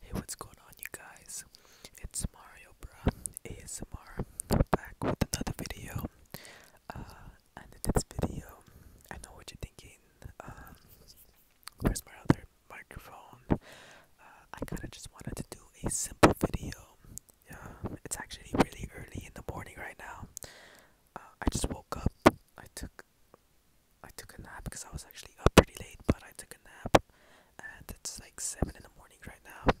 Hey, what's going on, you guys? It's Mario Bro ASMR back with another video. Uh, and in this video, I know what you're thinking. Um, where's my other microphone? Uh, I kind of just wanted to do a simple video. Yeah, it's actually really early in the morning right now. Uh, I just woke up. I took I took a nap because I was actually up pretty late, but I took a nap, and it's like seven in the morning right now,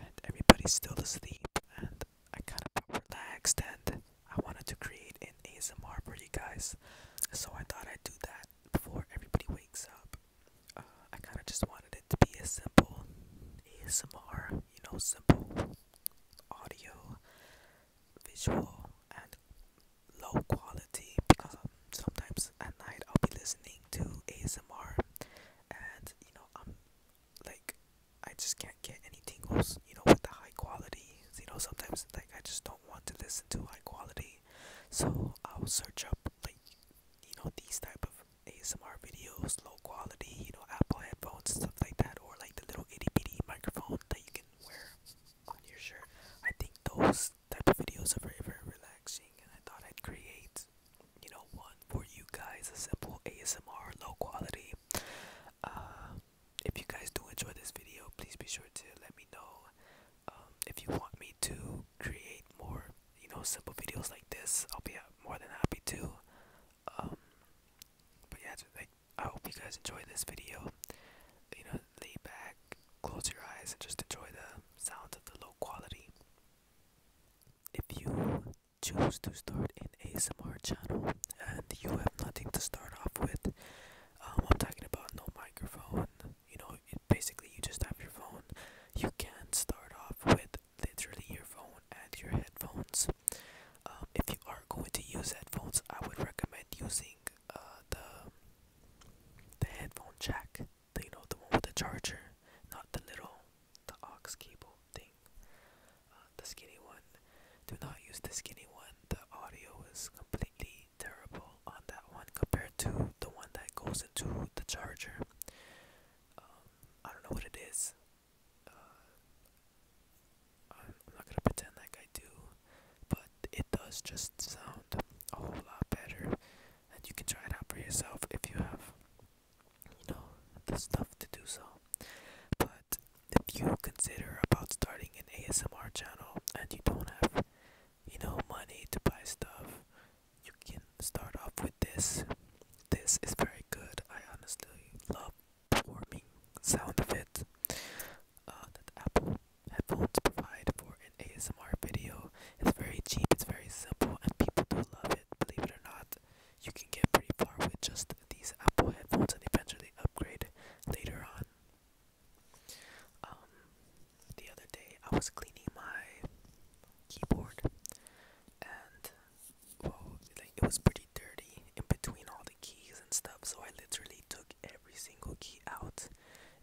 and everybody's still asleep, and I kind of relaxed, and I wanted to create an ASMR for you guys, so I thought I'd do that before everybody wakes up. Uh, I kind of just wanted it to be a simple ASMR, you know, simple audio, visual and low quality because um, sometimes at night I'll be listening to ASMR and you know I'm like I just can't get any tingles you know with the high quality you know sometimes like I just don't want to listen to high quality so I'll search up like you know these type of ASMR videos low quality you know Apple headphones stuff like that or like the little itty bitty microphone that you can wear on your shirt. I think those type of videos are very, very relaxing, and I thought I'd create, you know, one for you guys, a simple ASMR, low quality. Uh, if you guys do enjoy this video, please be sure to let me know um, if you want me to create more, you know, simple videos like this. I'll be more than happy to. Um, but yeah, like I hope you guys enjoy this video. You know, lay back, close your eyes, and just enjoy the sound of the low quality. If you choose to start an ASMR channel and you have nothing to start off with, um, I'm talking about no microphone. You know, basically you just have your phone. You can start off with literally your phone and your headphones uh, if you are going to use headphones, I would recommend using uh, the the headphone jack, the, you know, the one with the charger, not the little the aux cable thing, uh, the skinny one. Do not use the skinny one. The audio is completely terrible on that one compared to the one that goes into the charger. Um, I don't know what it is. I'm not gonna pretend like I do, but it does just sound a whole lot better, and you can try it out for yourself if you have, you know, the stuff to do so. But if you consider about starting an ASMR channel and you don't have, you know, money to buy stuff, you can start off with this. This is very good. I honestly love warming sound effect uh, that Apple headphones provide for an ASMR video. It's very cheap, it's very simple, and people do love it. Believe it or not, you can get pretty far with just these Apple headphones and eventually upgrade later on. Um, the other day I was cleaning my keyboard and well, like, it was pretty dirty in between all the keys and stuff. So I literally took every single key out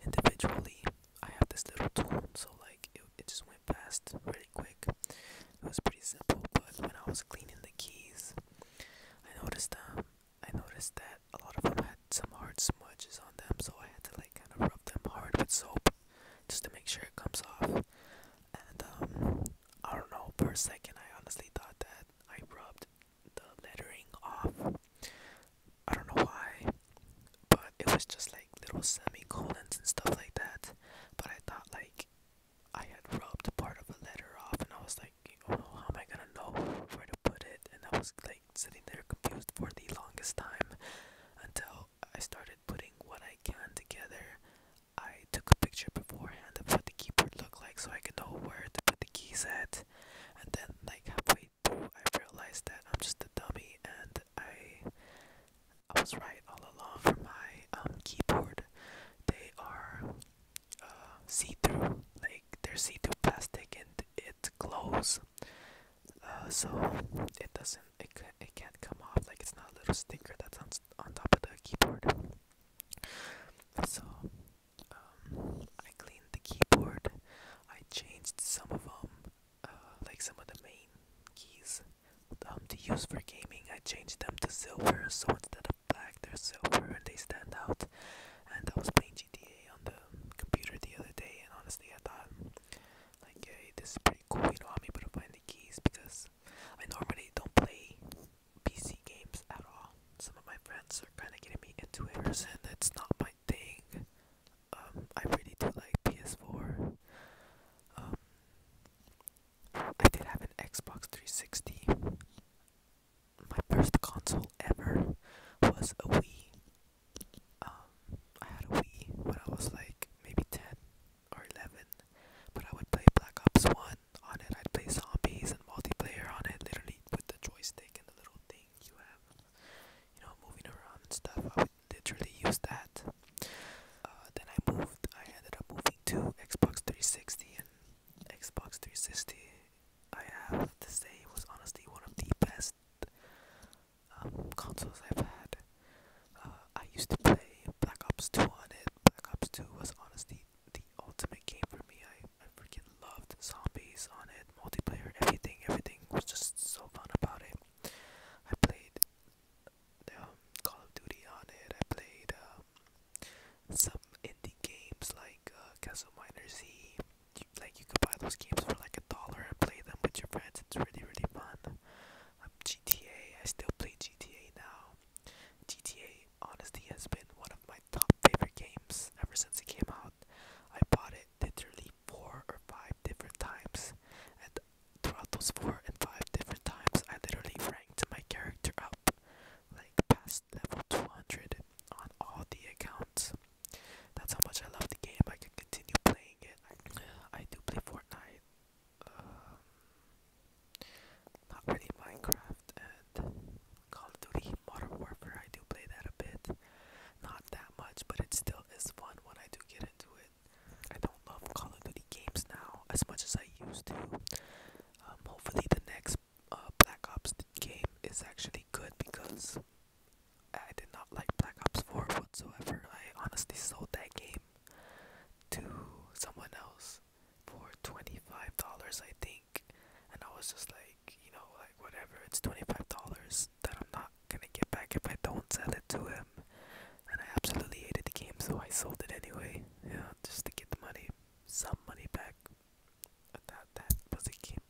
individually. I have this little tool, so like it, it just went past really quick. It was pretty simple, but when I was cleaning the keys, I noticed um I noticed that a lot of them had some hard smudges on them, so I had to like kind of rub them hard with soap just to make sure it comes off. And um I don't know, Per second I honestly thought that I rubbed the lettering off. I don't know why, but it was just like little semicolons and stuff like that. But I thought like I had rubbed part of a letter off, and I was like, oh, how am I gonna know where to put it? And I was like sitting there confused for the longest time until I started putting what I can together, I took a picture beforehand of what the keyboard looked like so I could know where to put the keys at. And then, like halfway through, I realized that I'm just a dummy, and I I was right all along. For my um, keyboard, they are uh, see-through, like they're see-through plastic, and it glows. Uh, so it doesn't it, can't come off like it's not a little sticker that's on, on top of the keyboard so um, I cleaned the keyboard I changed some of them uh, like some of the main keys um, to use for gaming I changed them to silver so instead of black they're silver and they stand out and I was playing GTA on the computer the other day and honestly I thought like hey this is pretty cool you know I'm able to find the keys because I normally don't play PC games at all. Some of my friends are kind of getting me into it, and it's not my thing. Um, I really do like PS4. Um, I did have an Xbox 360. My first console ever was a Wii. Um, I had a Wii when I was like maybe 10, or 11, but I would play Black Ops 1 on it. I'd play zombies and multiplayer on it, literally with the joystick and the little thing you have, you know, moving around and stuff. I would literally use that. Uh, then I moved, I ended up moving to Xbox 360 and Xbox 360. I have to say it was honestly one of the best um, consoles I've had. Uh, I used to play Black Ops 2 on it. Black Ops 2 was honestly the ultimate game for me. I, freaking loved zombies on it, multiplayer, everything, everything was just so fun about it. I played um, Call of Duty on it. I played um, some indie games like uh, Castle Miner Z. like you could buy those games for like a dollar and play them with your friends. It's really really fun. Um, GTA. I still play GTA now. GTA honestly has been one of my top favorite games ever since it came out. I bought it literally four or five different times, and throughout those four and five different times, I literally ranked my character up like past level 200 on all the accounts. That's how much I love the game. I can continue playing it. I, I do play Fortnite. Um, not really Minecraft and Call of Duty Modern Warfare. I do play that a bit, not that much, but it still is fun when I do get into it. I don't love Call of Duty games now as much as I used to. Um, hopefully, the next uh, Black Ops game is actually good because I did not like Black Ops 4 whatsoever. I honestly sold that game to someone else for $25 I think and I was just like you know like whatever it's $25 that I'm not gonna get back if I don't sell it to him and I absolutely hated the game so I sold it anyway just to get the money some money back that that was a game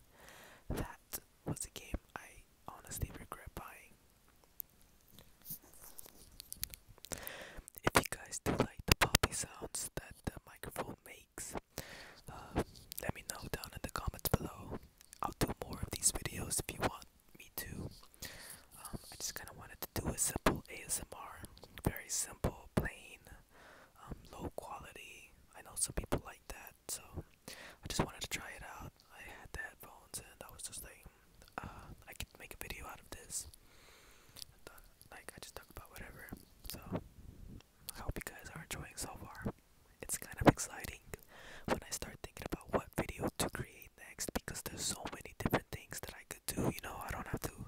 that was a game I honestly regret buying if you guys do like the poppy sounds that the microphone makes, uh, let me know down in the comments below. I'll do more of these videos if you want me to. Um, I just kind of wanted to do a simple ASMR, very simple, plain, um, low quality. I know some people like that, so I just wanted to try it out. I had the headphones and I was just like, uh, I can make a video out of this. like, I just talk about whatever. So, I hope you guys are enjoying so far. It's kind of exciting when I start thinking about what video to create next because there's so many different things that I could do. You know, I don't have to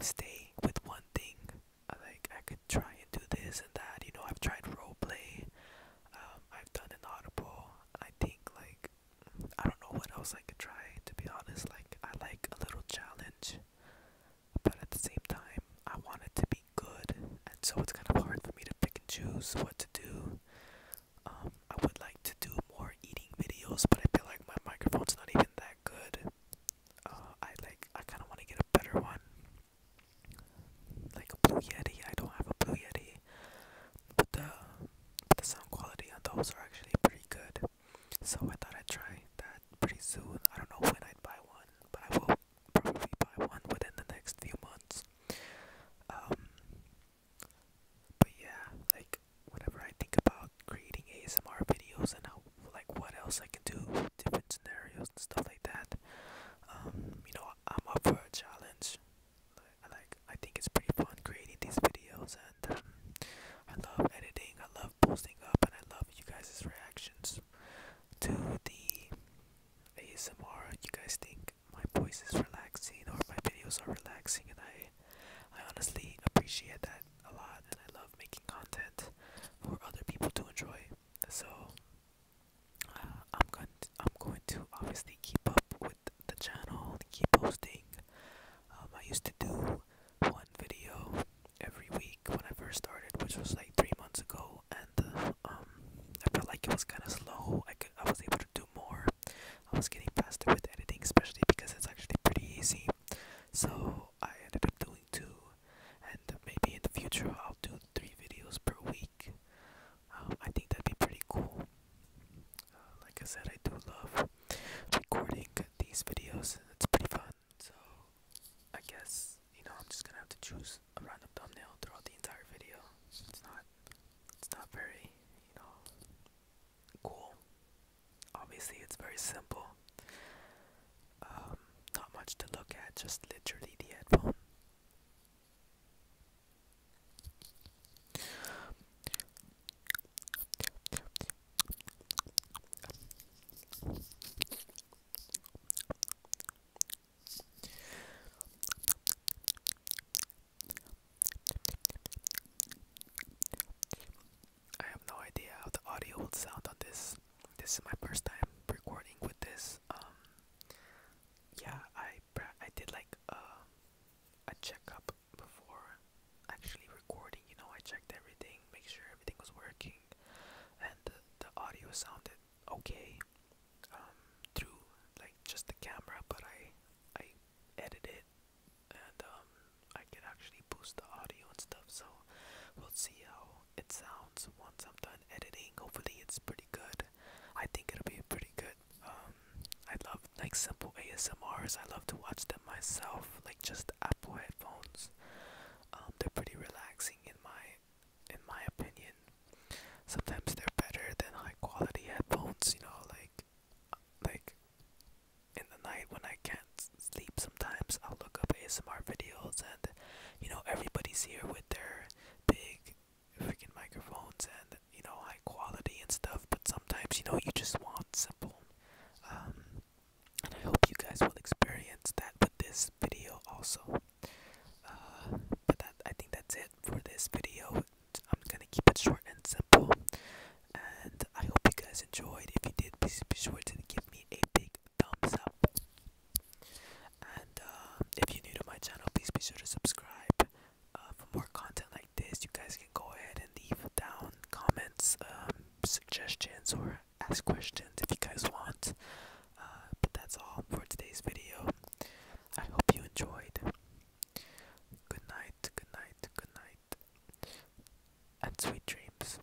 stay with one thing. Like, I could try and do this and that. You know, I've tried role play um, I've done an audible. I think like I don't know what else I could try to be honest. Like I like a little challenge, but at the same time I want it to be good, and so it's kind of hard for me to pick and choose what to do. Um, I would like to do more eating videos, but I feel like my microphone's not even that good. Uh, I like I kind of want to get a better one like a Blue Yeti. I don't have a Blue Yeti, but the the sound quality on those are actually pretty good. So I thought I'd try that pretty soon. I don't know when I'd buy one, but I will probably buy one within the next few months. Um, but yeah, like whenever I think about creating ASMR videos and how, like what else I can do, different scenarios and stuff like that. Um, you know, I'm up for a challenge. I like I think it's pretty fun creating these videos and um, I love editing, I love posting up and I love you guys' reactions to the ASMR. You guys think my voice is relaxing or my videos are relaxing and I I honestly appreciate that a lot and I love making content for other people to enjoy. So I'm going to, I'm going to obviously keep up with the channel keep posting um, I used to do one video every week when I first started which was like three months ago and uh, um, I felt like it was kind of slow I, could, I was able to do more I was getting faster with editing especially because it's actually pretty easy so I ended up doing two and maybe in the future I'll do three videos per week. Um, I think that'd be pretty cool. Uh, like I said, I do love recording these videos. It's pretty fun. So I guess you know I'm just gonna have to choose a random thumbnail throughout the entire video. It's not. It's not very you know cool. Obviously, it's very simple. Um, not much to look at. Just literally the headphone. I have no idea how the audio will sound on this. This is my first time recording with this um, yeah, I I did like uh, a checkup before actually recording. You know, I checked everything, make sure everything was working, and the, audio sounded okay um, through like just the camera. But I I edit it and um, I can actually boost the audio and stuff. So we'll see how it sounds once I'm done editing. Hopefully, it's pretty good. I think it'll be pretty good. Um, I love like simple ASMRs. I love to watch them myself. Like just Apple headphones. Um, they're pretty relaxing in my in my opinion. Sometimes they're better than high quality headphones. You know, like like in the night when I can't sleep. Sometimes I'll look up ASMR videos and you know everybody's here with their big freaking microphones and you know high quality and stuff but sometimes you know you just want simple um, and i hope you guys will experience that with this video also uh, but that i think that's it for this video i'm gonna keep it short and simple and i hope you guys enjoyed if you did please be sure to give me a big thumbs up and uh, if you're new to my channel, please be sure to subscribe. Uh, for more content like this, you guys can go ahead and leave down comments, um, suggestions, or ask questions if you guys want. Uh, but that's all for today's video. I hope you enjoyed. Good night, good night, good night, and sweet dreams.